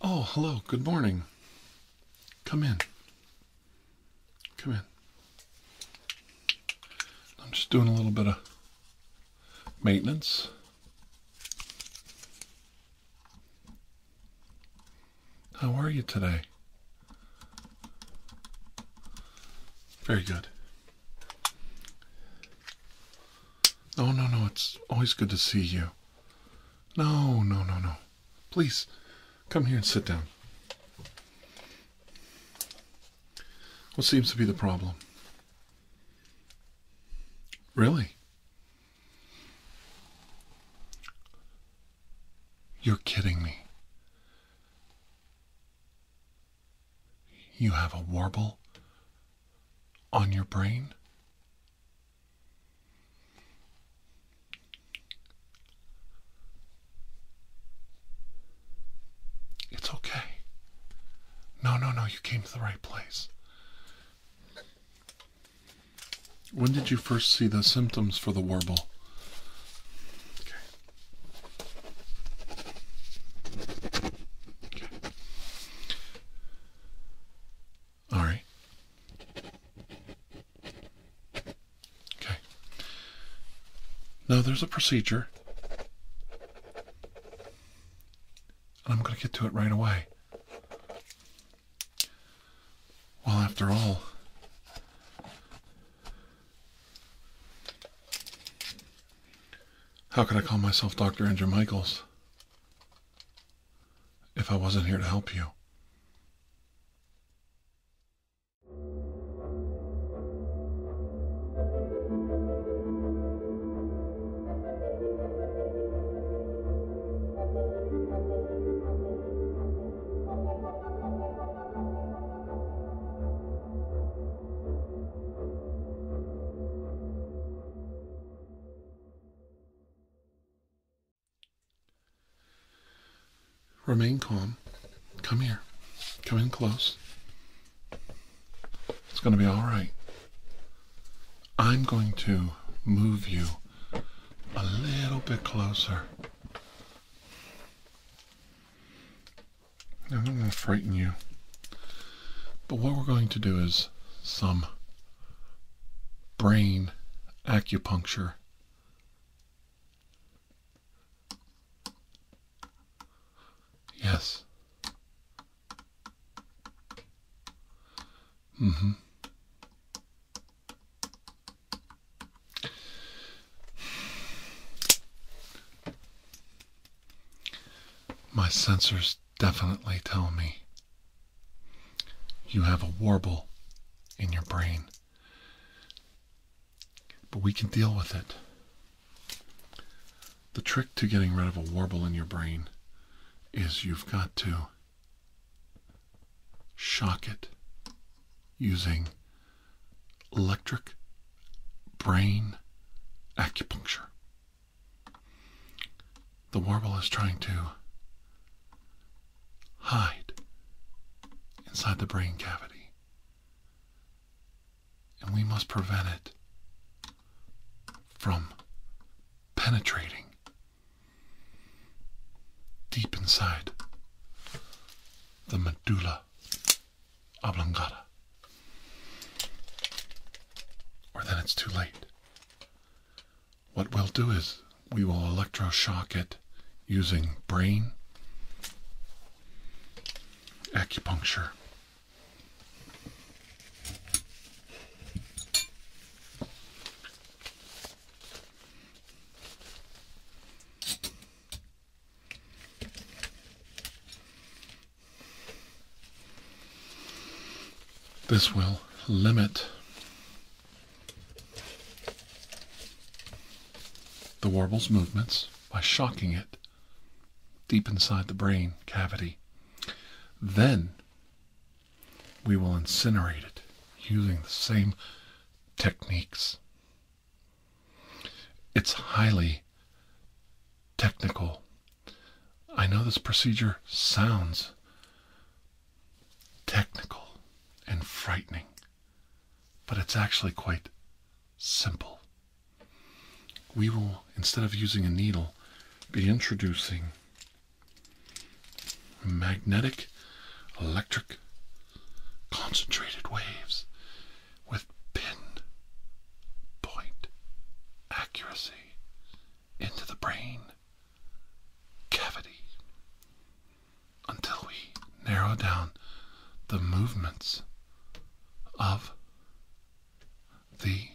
Oh, hello. Good morning. Come in. Come in. I'm just doing a little bit of maintenance. How are you today? Very good. Oh no, no. It's always good to see you. No, no, no, no. Please come here and sit down. What seems to be the problem? Really? You're kidding me. You have a warble on your brain? It's okay. No, no, no, you came to the right place. When did you first see the symptoms for the warble? All right. Okay. Now there's a procedure. I'm going to get to it right away. Well, after all, how could I call myself Dr. Andrew Michaels? if I wasn't here to help you. Remain calm. Come here. Come in close. It's going to be all right. I'm going to move you a little bit closer. I'm not going to frighten you. But what we're going to do is some brain acupuncture. Yes. hmm My sensors definitely tell me you have a warble in your brain. But we can deal with it. The trick to getting rid of a warble in your brain is you've got to shock it using electric brain acupuncture. The warble is trying to hide inside the brain cavity, and we must prevent it from penetrating deep inside the medulla oblongata. Or then it's too late. What we'll do is we will electroshock it using brain acupuncture. This will limit the warble's movements by shocking it deep inside the brain cavity. Then we will incinerate it using the same techniques. It's highly technical I know this procedure sounds technical and frightening, but it's actually quite simple. We will, instead of using a needle, be introducing magnetic, electric, concentrated waves with pin accuracy into the brain cavity until we narrow down the movements of the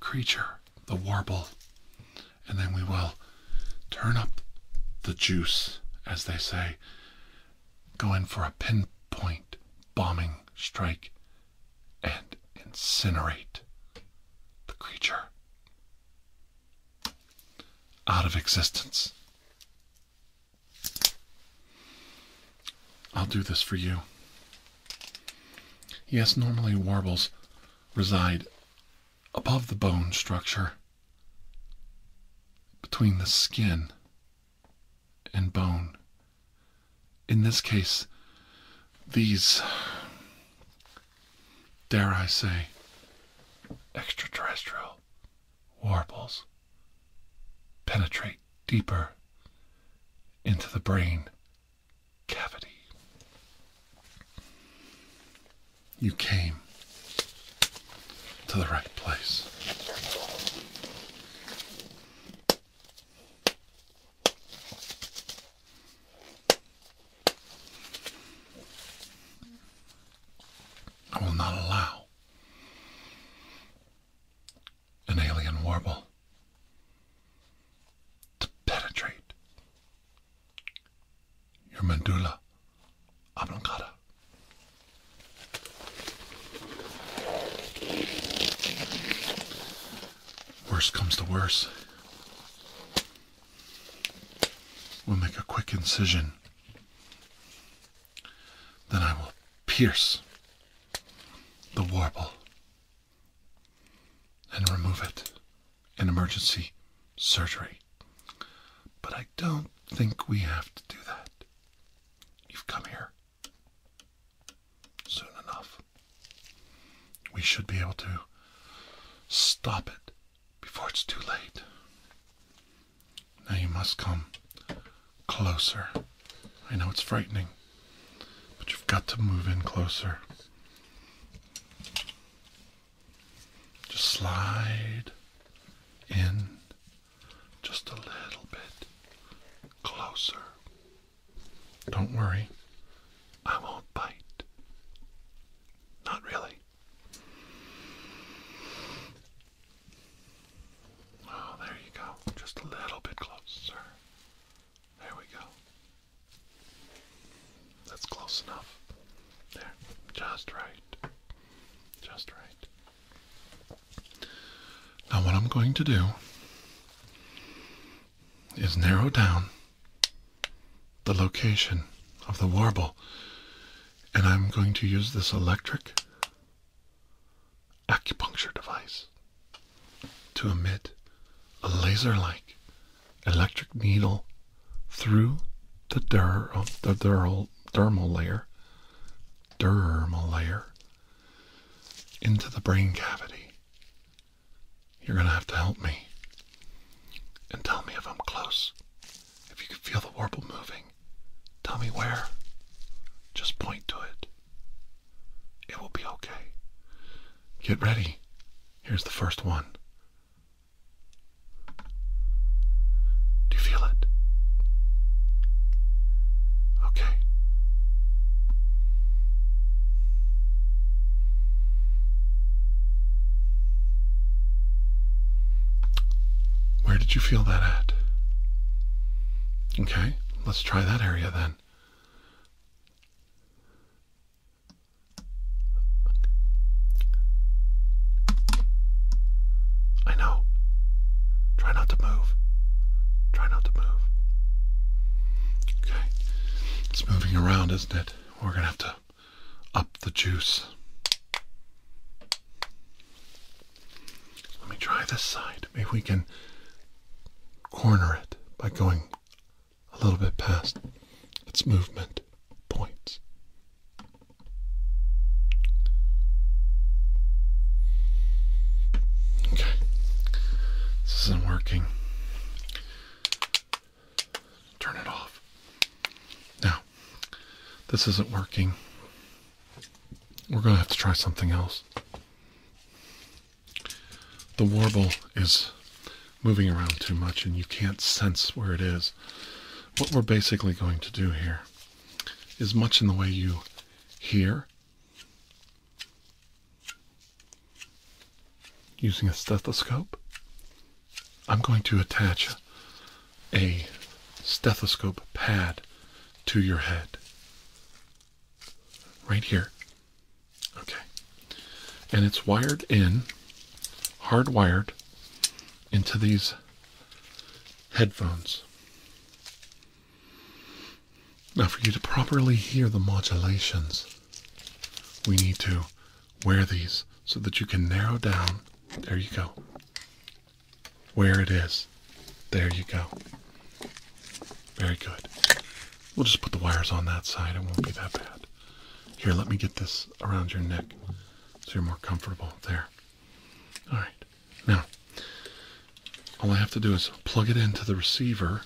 creature, the warble, and then we will turn up the juice, as they say, go in for a pinpoint bombing strike and incinerate the creature out of existence. I'll do this for you. Yes, normally warbles reside above the bone structure, between the skin and bone. In this case, these dare I say, extraterrestrial warbles penetrate deeper into the brain cavity. You came to the right place. I will not allow an alien warble to penetrate your medulla oblongata. Worst comes to worse, We'll make a quick incision. Then I will pierce the warble and remove it in emergency surgery. But I don't think we have to do that. You've come here soon enough. We should be able to stop it before it's too late. Now you must come closer. I know it's frightening, but you've got to move in closer. Just slide in just a little bit closer. Don't worry, I won't bite. Not really. Oh, there you go. Just a little bit closer. There we go. That's close enough. There. Just right. Just right. Now, what I'm going to do is narrow down the location of the warble. And I'm going to use this electric acupuncture device to emit a laser like electric needle through the, der- um, dermal layer, dermal layer, into the brain cavity you're going to have to help me and tell me if I'm close. If you can feel the warble moving, tell me where. Just point to it. It will be okay. Get ready. Here's the first one. Do you feel it? Okay. Where did you feel that at? Okay, let's try that area then. I know. Try not to move. Try not to move. Okay. It's moving around, isn't it? we're gonna have to up the juice. Let me try this side. Maybe we can corner it by going a little bit past its movement points. Okay, this isn't working. Turn it off. Now, this isn't working. We're going to have to try something else. The warble is moving around too much and you can't sense where it is. What we're basically going to do here is much in the way you hear Using a stethoscope, I'm going to attach a stethoscope pad to your head. Right here. Okay. And it's wired in, hardwired into these headphones. Now, for you to properly hear the modulations, we need to wear these so that you can narrow down. There you go. Where it is. There you go. Very good. We'll just put the wires on that side. It won't be that bad. Here, let me get this around your neck so you're more comfortable. There. All right. Now, all I have to do is plug it into the receiver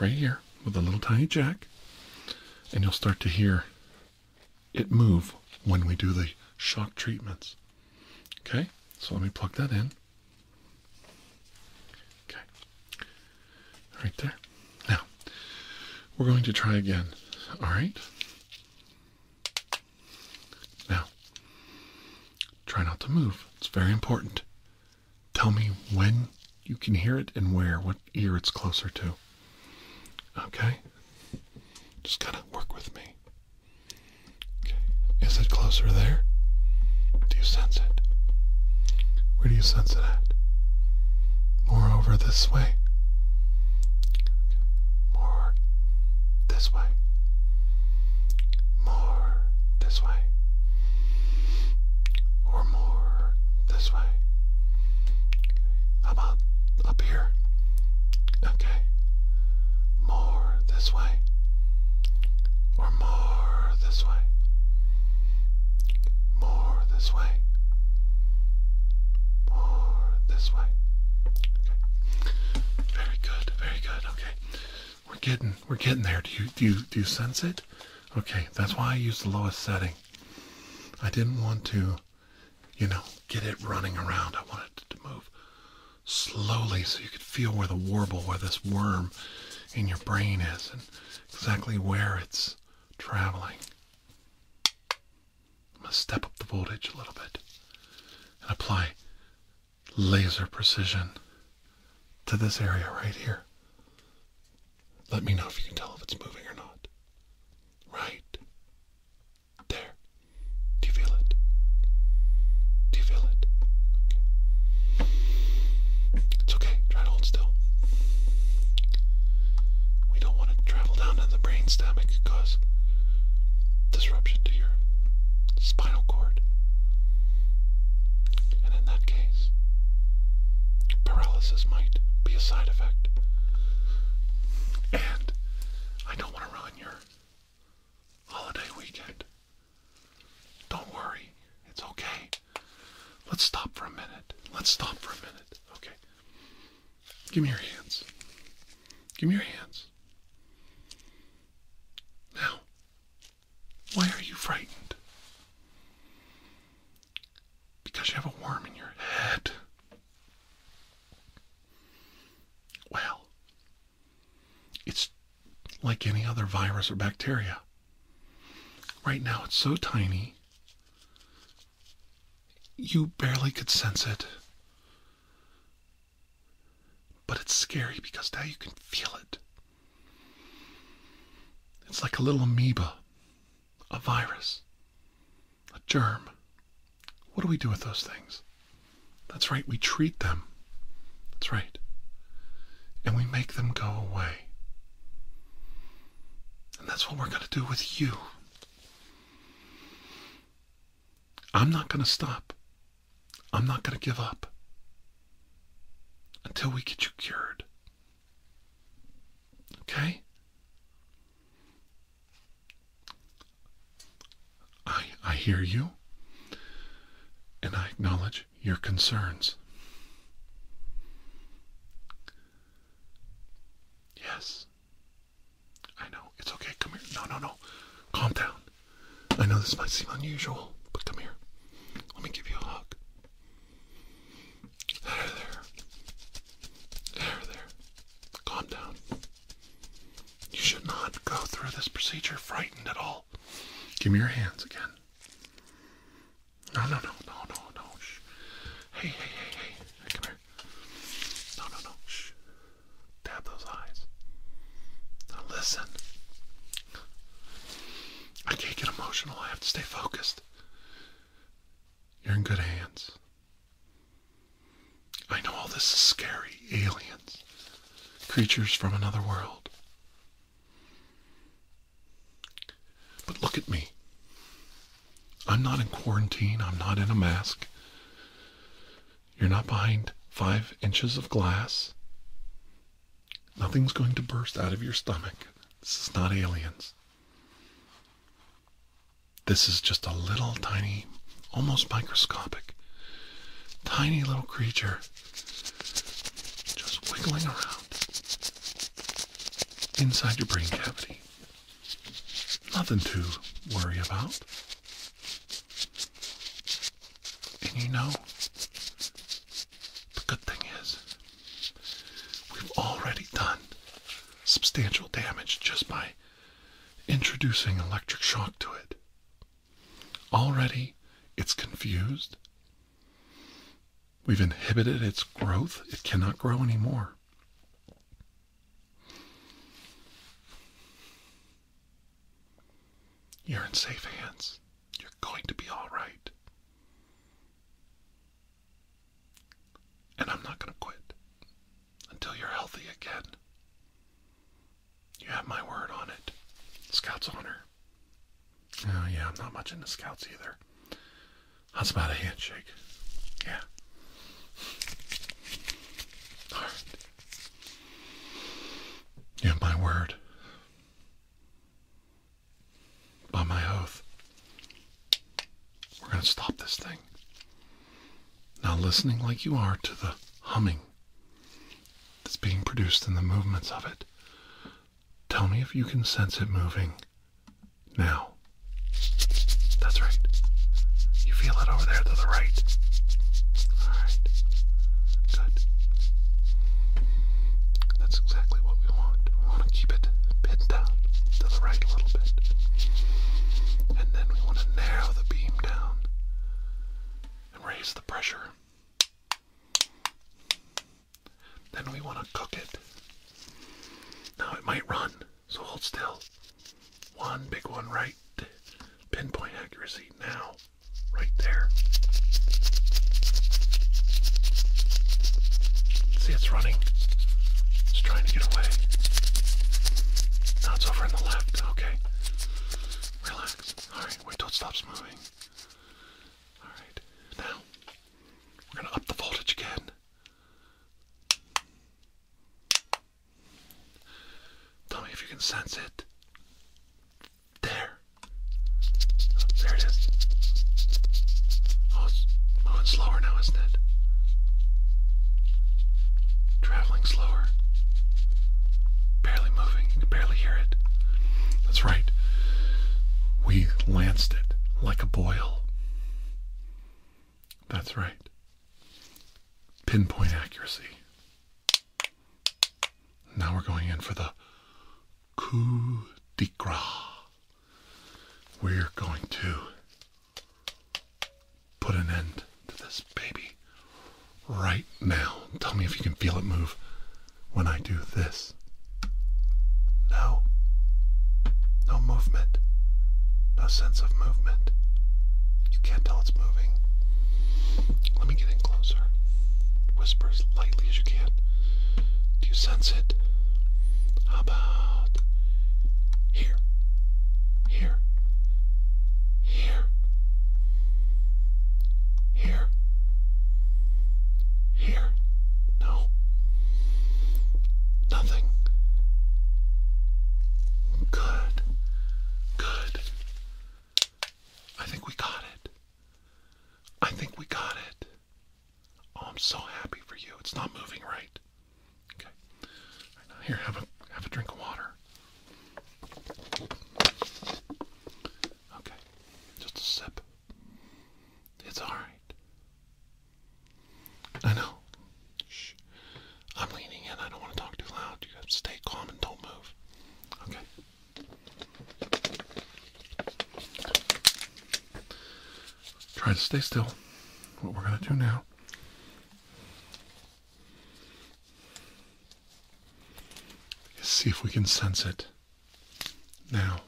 right here with a little tiny jack, and you'll start to hear it move when we do the shock treatments. Okay, so let me plug that in. Okay, right there. Now, we're going to try again. All right. Now, try not to move. It's very important. Tell me when you can hear it and where, what ear it's closer to. Okay? Just gotta work with me. Okay. Is it closer there? Do you sense it? Where do you sense it at? More over this way? More this way? More this way? or more this way? How about up here? Okay. More this way or more this way? More this way. More this way. Okay. Very good. Very good. Okay. We're getting we're getting there. Do you do you do you sense it? Okay, that's why I use the lowest setting. I didn't want to, you know, get it running around. I wanted it to move slowly so you could feel where the warble, where this worm in your brain is, and exactly where it's traveling. I'm going to step up the voltage a little bit and apply laser precision to this area right here. Let me know if you can tell if it's moving or not. Right. There. Do you feel it? Do you feel it? It's okay. Try to hold still. We don't want to travel down to the brain stem. cause disruption to your spinal cord. And in that case, paralysis might be a side and I don't want to ruin your holiday weekend. Don't worry, it's okay. Let's stop for a minute. Let's stop for a minute. Okay. Give me your hands. Give me your hands. Now, why are you frightened? because you have a worm in your head. Well, it's like any other virus or bacteria. Right now, it's so tiny, you barely could sense it. But it's scary because now you can feel it. It's like a little amoeba a virus, a germ. What do we do with those things? That's right, we treat them. That's right. And we make them go away. And that's what we're going to do with you. I'm not going to stop. I'm not going to give up until we get you cured. Okay? I, I hear you, and I acknowledge your concerns. Yes, I know. It's okay. Come here. No, no, no. Calm down. I know this might seem unusual, but come here. Let me give you a hug. There, there. There, there. Calm down. You should not go through this procedure frightened at all. Give me your hands again. No, no, no, no, no, no. Shh. Hey, hey, hey, hey. Come here. No, no, no. Shh. Dab those eyes. Now listen. I can't get emotional. I have to stay focused. You're in good hands. I know all this is scary. Aliens. Creatures from another world. But look at me. I'm not in quarantine. I'm not in a mask. You're not behind five inches of glass. Nothing's going to burst out of your stomach. This is not aliens. This is just a little tiny, almost microscopic, tiny little creature just wiggling around inside your brain cavity. Nothing to worry about. And you know, the good thing is, we've already done substantial damage just by introducing electric shock to it. Already, it's confused. We've inhibited its growth. It cannot grow anymore. You're in safe hands. You're going to be all right. And I'm not going to quit until you're healthy again. You have my word on it. Scout's honor. Oh, yeah, I'm not much into scouts either. That's about a handshake. Yeah. All right. You have my word by my oath, we're going to stop this thing. Now, listening like you are to the humming that's being produced in the movements of it, tell me if you can sense it moving now. That's right. You feel it over there to the right. All right. Good. That's exactly what we want. We want to keep it pin down to the right a little bit. And then we want to narrow the beam down and raise the pressure. Then we want to cook it. Now it might run, so hold still. One big one right, pinpoint accuracy now, right there. See, it's running. It's trying to get away. Now it's over on the left. Okay. Relax. Alright, wait till it stops moving. Alright. Now, we're going to up the voltage again. Tell me if you can sense it. There. There it is. Oh, moving oh, slower now, isn't it? Traveling slower. Barely moving. barely hear it. That's right. We lanced it like a boil. That's right. Pinpoint accuracy. Now we're going in for the coup de grace. We're going to Put an end to this baby right now. Tell me if you can feel it move when I do this. No. No movement. No sense of movement. You can't tell it's moving. Let me get in closer. Whisper as lightly as you can. Do you sense it? here, here, here, here, here? No, nothing. Good, good. I think we got it. I think we got it. Oh, I'm so happy for you. It's not moving right. Okay. here, have a have a drink of water. Okay. Just a sip. It's all right. I know. Shh. I'm leaning in. I don't want to talk too loud. You have to stay calm and don't move. Okay. Try to stay still. What we're going to do now is see if we can sense it. Now,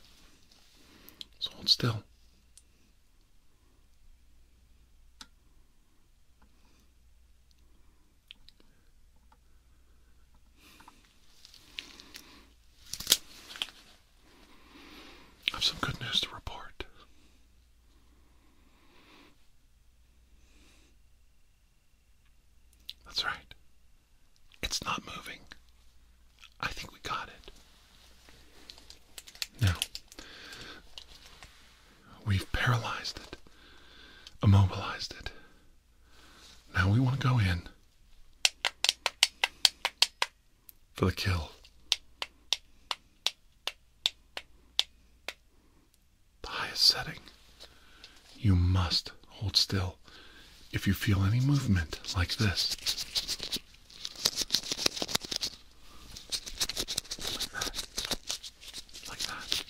so hold still. I have some good news to report. That's right. It's not moving. I think we got it. Now, we've paralyzed it, immobilized it. Now we want to go in for the kill. highest setting. You must hold still if you feel any movement like this. Like that. Like that.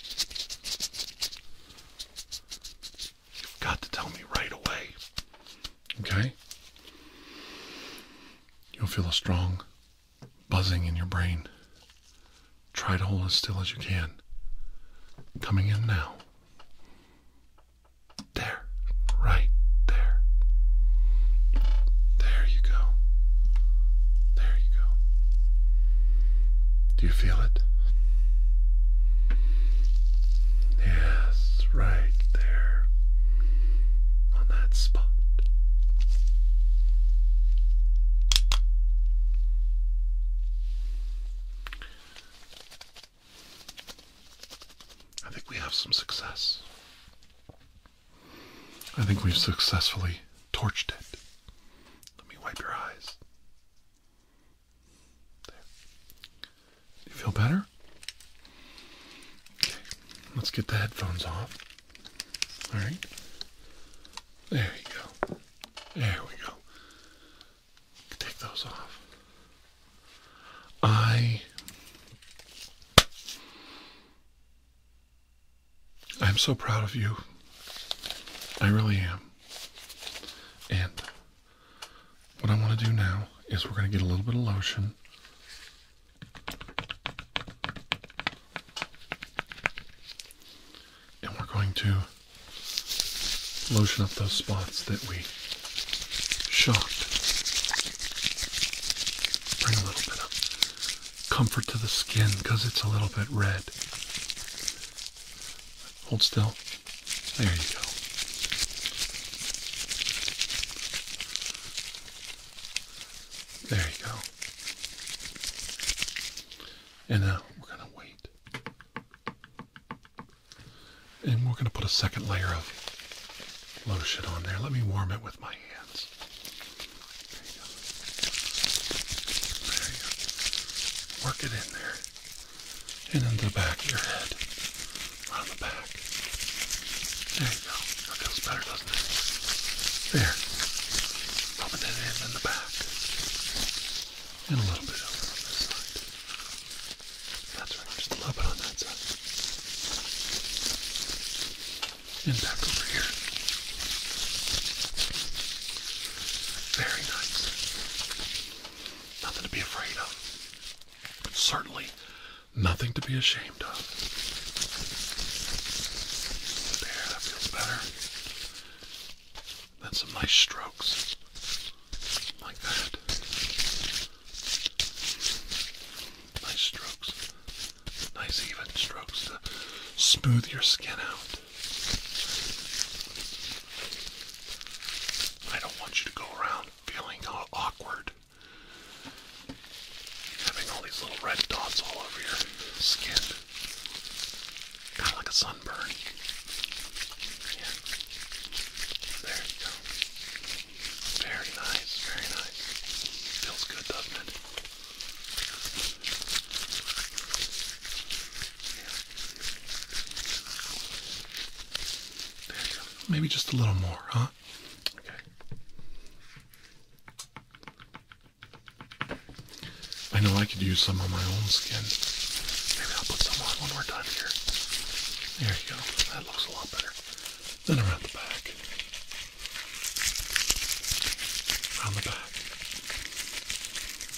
You've got to tell me right away. Okay? You'll feel a strong buzzing in your brain. Try to hold as still as you can. Coming in now. There. Right there. There you go. There you go. Do you feel it? Yes, right there on that spot. I think we have some success. I think we've successfully torched it. Let me wipe your eyes. There. you feel better? Okay, let's get the headphones off. All right. There you go. There we go. Take those off. I. I'm so proud of you. I really am. And what I want to do now is we're going to get a little bit of lotion and we're going to lotion up those spots that we shocked. Bring a little bit of comfort to the skin because it's a little bit red. Hold still. There you go. There you go. And now we're going to wait. And we're going to put a second layer of lotion on there. Let me warm it with my hands. There you go. There you go. Work it in there. And in the back of your head. Around the back. There you go. That feels better, doesn't it? There. Rubbing it in in the back. And a little bit over on this side. That's right, just a little bit on that side. And back over here. Very nice. Nothing to be afraid of. But Certainly Nothing to be ashamed of. that feels better. Then some nice strokes. Like that. Nice strokes. Nice even strokes to smooth your skin out. I don't want you to go around feeling awkward Having all these little red dots all over your skin. Kind of like a sunburn. Yeah. There you go. Very nice, very nice. Feels good, doesn't it? There you go. Maybe just a little more, huh? Okay. I know I could use some on my own skin. Maybe I'll put some on when we're done here. There you go. That looks a lot better. Then around the back. Around the back.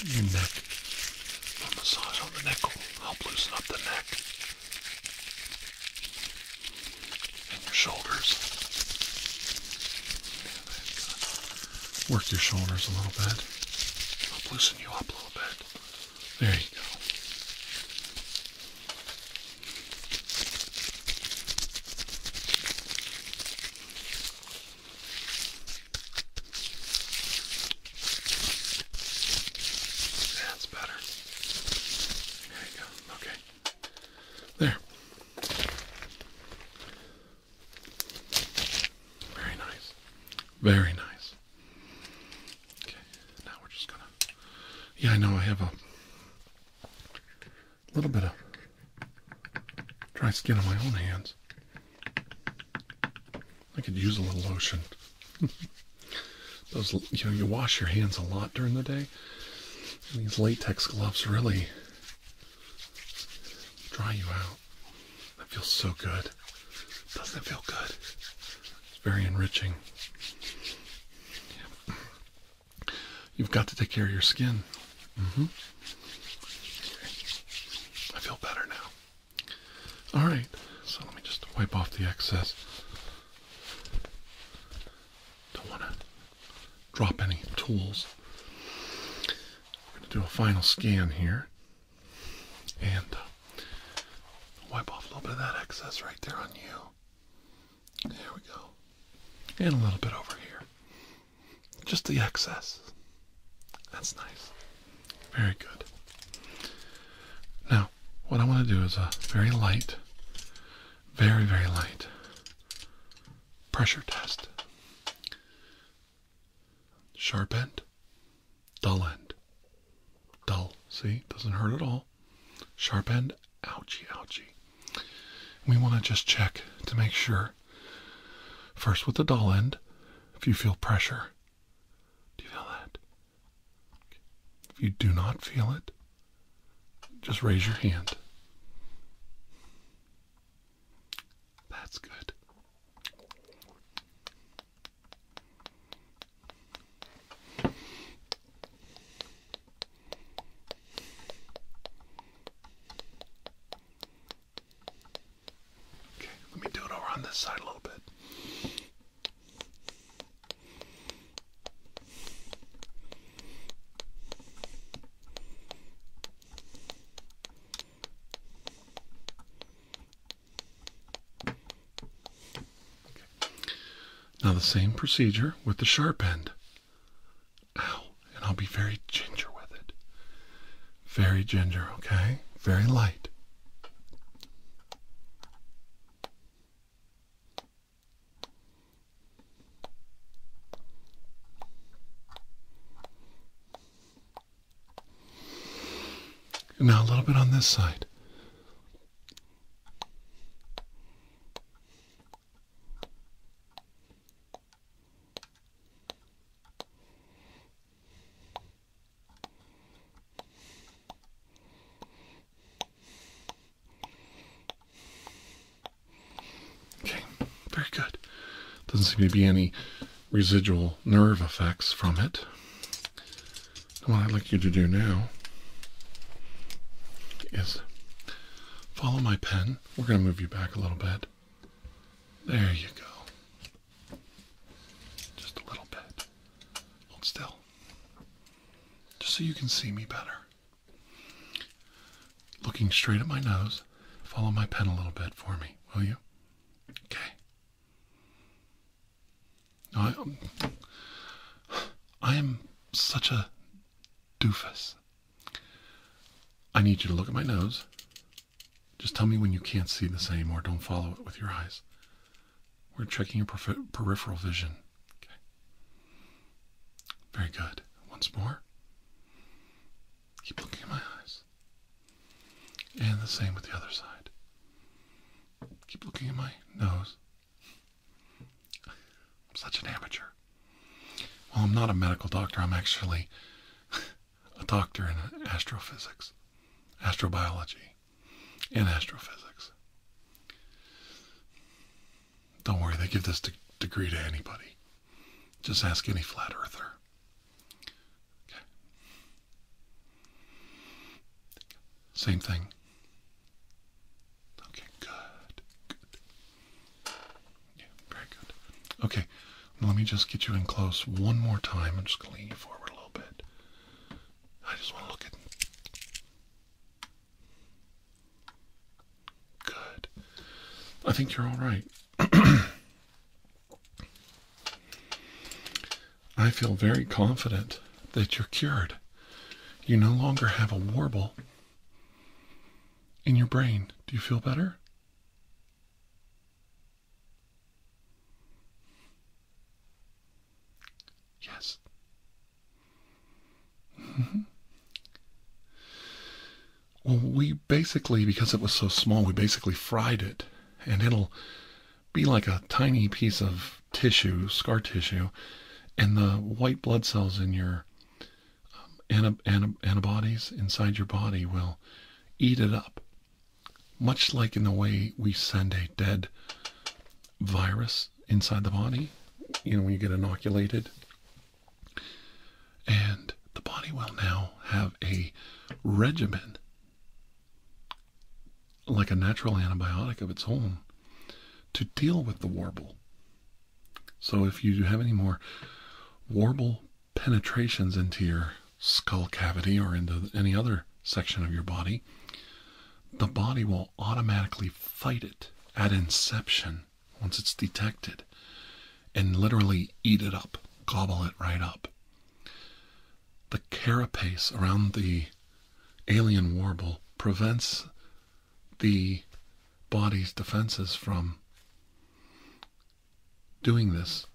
Your neck. A massage on the neck will help loosen up the neck and your shoulders. Work your shoulders a little bit. I'll loosen you up a little bit. There you go. That's better. There you go. Okay. There. Very nice. Very nice. Okay, now we're just gonna. Yeah, I know I have a little bit of dry skin on my own hands. I could use a little lotion. Those, you know, you wash your hands a lot during the day, these latex gloves really dry you out. That feels so good. Doesn't it feel good? It's very enriching. You've got to take care of your skin. Mm-hmm. I feel better now. All right. So let me just wipe off the excess. Don't want to drop any tools. I'm going to do a final scan here and uh, wipe off a little bit of that excess right there on you. There we go. And a little bit over here. Just the excess. That's nice. Very good. Now, what I want to do is a very light very, very light. Pressure test. Sharp end, dull end. Dull, see? Doesn't hurt at all. Sharp end, ouchie, ouchie. We want to just check to make sure. First with the dull end, if you feel pressure. Do you feel that? If you do not feel it, just raise your hand. That's good. Okay, let me do it over on this side a little bit. Now, the same procedure with the sharp end. Ow, and I'll be very ginger with it. Very ginger, okay? Very light. And now a little bit on this side. Okay, very good. Doesn't seem to be any residual nerve effects from it. What I'd like you to do now is follow my pen. We're going to move you back a little bit. There you go. Just a little bit. Hold still. Just so you can see me better. Looking straight at my nose, follow my pen a little bit for me, will you? Okay. Um, I, am such a doofus. I need you to look at my nose. Just tell me when you can't see this anymore. don't follow it with your eyes. We're checking your peripheral vision. Okay. Very good. Once more. Keep looking at my eyes. And the same with the other side. Keep looking at my nose. I'm such an amateur. Well, I'm not a medical doctor. I'm actually a doctor in astrophysics, astrobiology, and astrophysics. Don't worry, they give this degree to anybody. Just ask any flat earther. Okay. Same thing. Okay, Good. Yeah, very good. Okay, let me just get you in close one more time. I'm just going to lean you forward a little bit. I just want to look at Good. I think you're all right. I feel very confident that you're cured. You no longer have a warble in your brain. Do you feel better? Yes. Well, we basically, because it was so small, we basically fried it, and it'll be like a tiny piece of tissue, scar tissue, and the white blood cells in your um, antibodies inside your body will eat it up, much like in the way we send a dead virus inside the body. You know, when you get inoculated and the body will now have a regimen, like a natural antibiotic of its own, to deal with the warble. So if you have any more warble penetrations into your skull cavity or into any other section of your body, the body will automatically fight it at inception once it's detected and literally eat it up, gobble it right up. The carapace around the alien warble prevents the body's defenses from doing this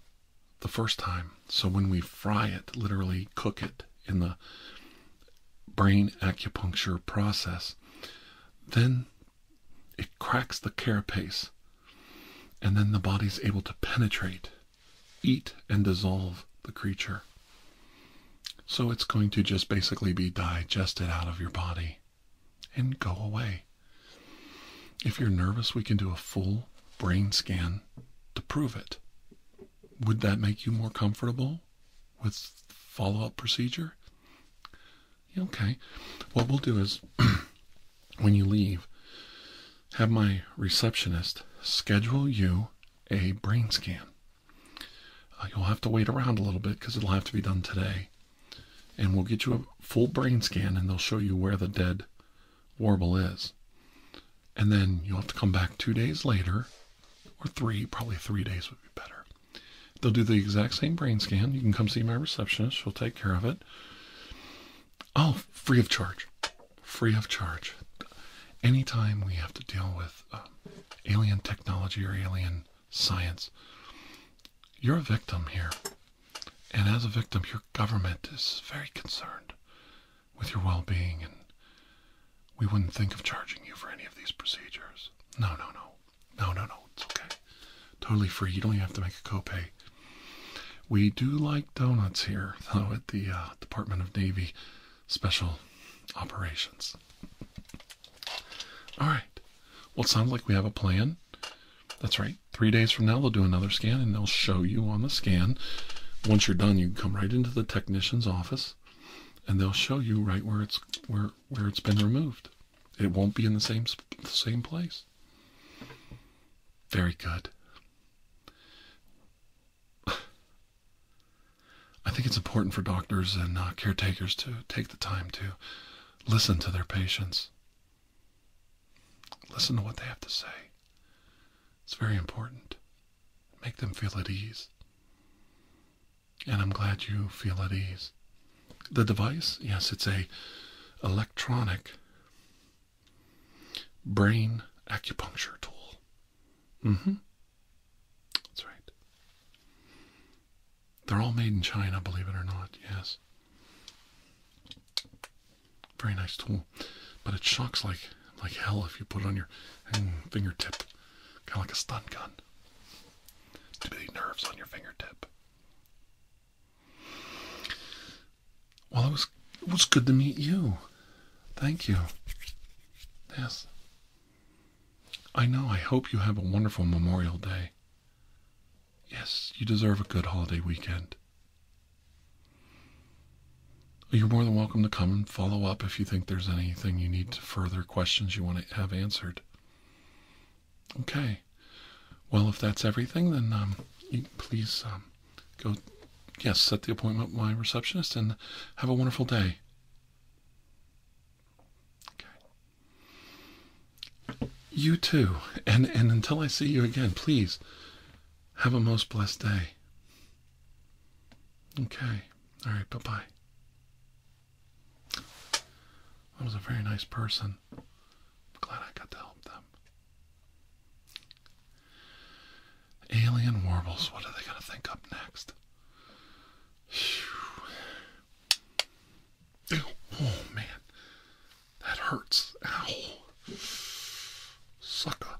the first time. So when we fry it, literally cook it in the brain acupuncture process, then it cracks the carapace, and then the body's able to penetrate, eat, and dissolve the creature. So it's going to just basically be digested out of your body and go away. If you're nervous, we can do a full brain scan to prove it. Would that make you more comfortable with follow up procedure? Okay. What we'll do is when you leave, have my receptionist schedule you a brain scan. Uh, you'll have to wait around a little bit because it'll have to be done today. And we'll get you a full brain scan and they'll show you where the dead warble is. And then you'll have to come back two days later or three, probably three days would be better. They'll do the exact same brain scan. You can come see my receptionist. She'll take care of it. Oh, free of charge. Free of charge. Anytime we have to deal with uh, alien technology or alien science, you're a victim here. And as a victim, your government is very concerned with your well being, and we wouldn't think of charging you for any of these procedures. No, no, no. No, no, no. It's okay. Totally free. You don't even have to make a copay. We do like donuts here, though, at the uh, Department of Navy Special Operations. All right. Well, it sounds like we have a plan. That's right. Three days from now, they'll do another scan and they'll show you on the scan. Once you're done, you come right into the technician's office and they'll show you right where it's where where it's been removed. It won't be in the same same place. Very good. I think it's important for doctors and uh, caretakers to take the time to listen to their patients. Listen to what they have to say. It's very important. Make them feel at ease and I'm glad you feel at ease. The device, yes, it's a electronic brain acupuncture tool. Mm-hmm. That's right. They're all made in China, believe it or not, yes. Very nice tool. But it shocks like like hell if you put it on your fingertip. Kind of like a stun gun. To the nerves on your fingertip. Well, it was was good to meet you. Thank you. Yes. I know. I hope you have a wonderful Memorial Day. Yes, you deserve a good holiday weekend. You're more than welcome to come and follow up if you think there's anything you need to further questions you want to have answered. Okay. Well, if that's everything, then um, please um, go, yes, set the appointment with my receptionist and have a wonderful day. Okay. You too. And, and until I see you again, please have a most blessed day. Okay. All right. Bye bye. That was a very nice person. glad I got to help them. Alien warbles, what are they going to think up next? Oh man, that hurts. Ow. Sucker.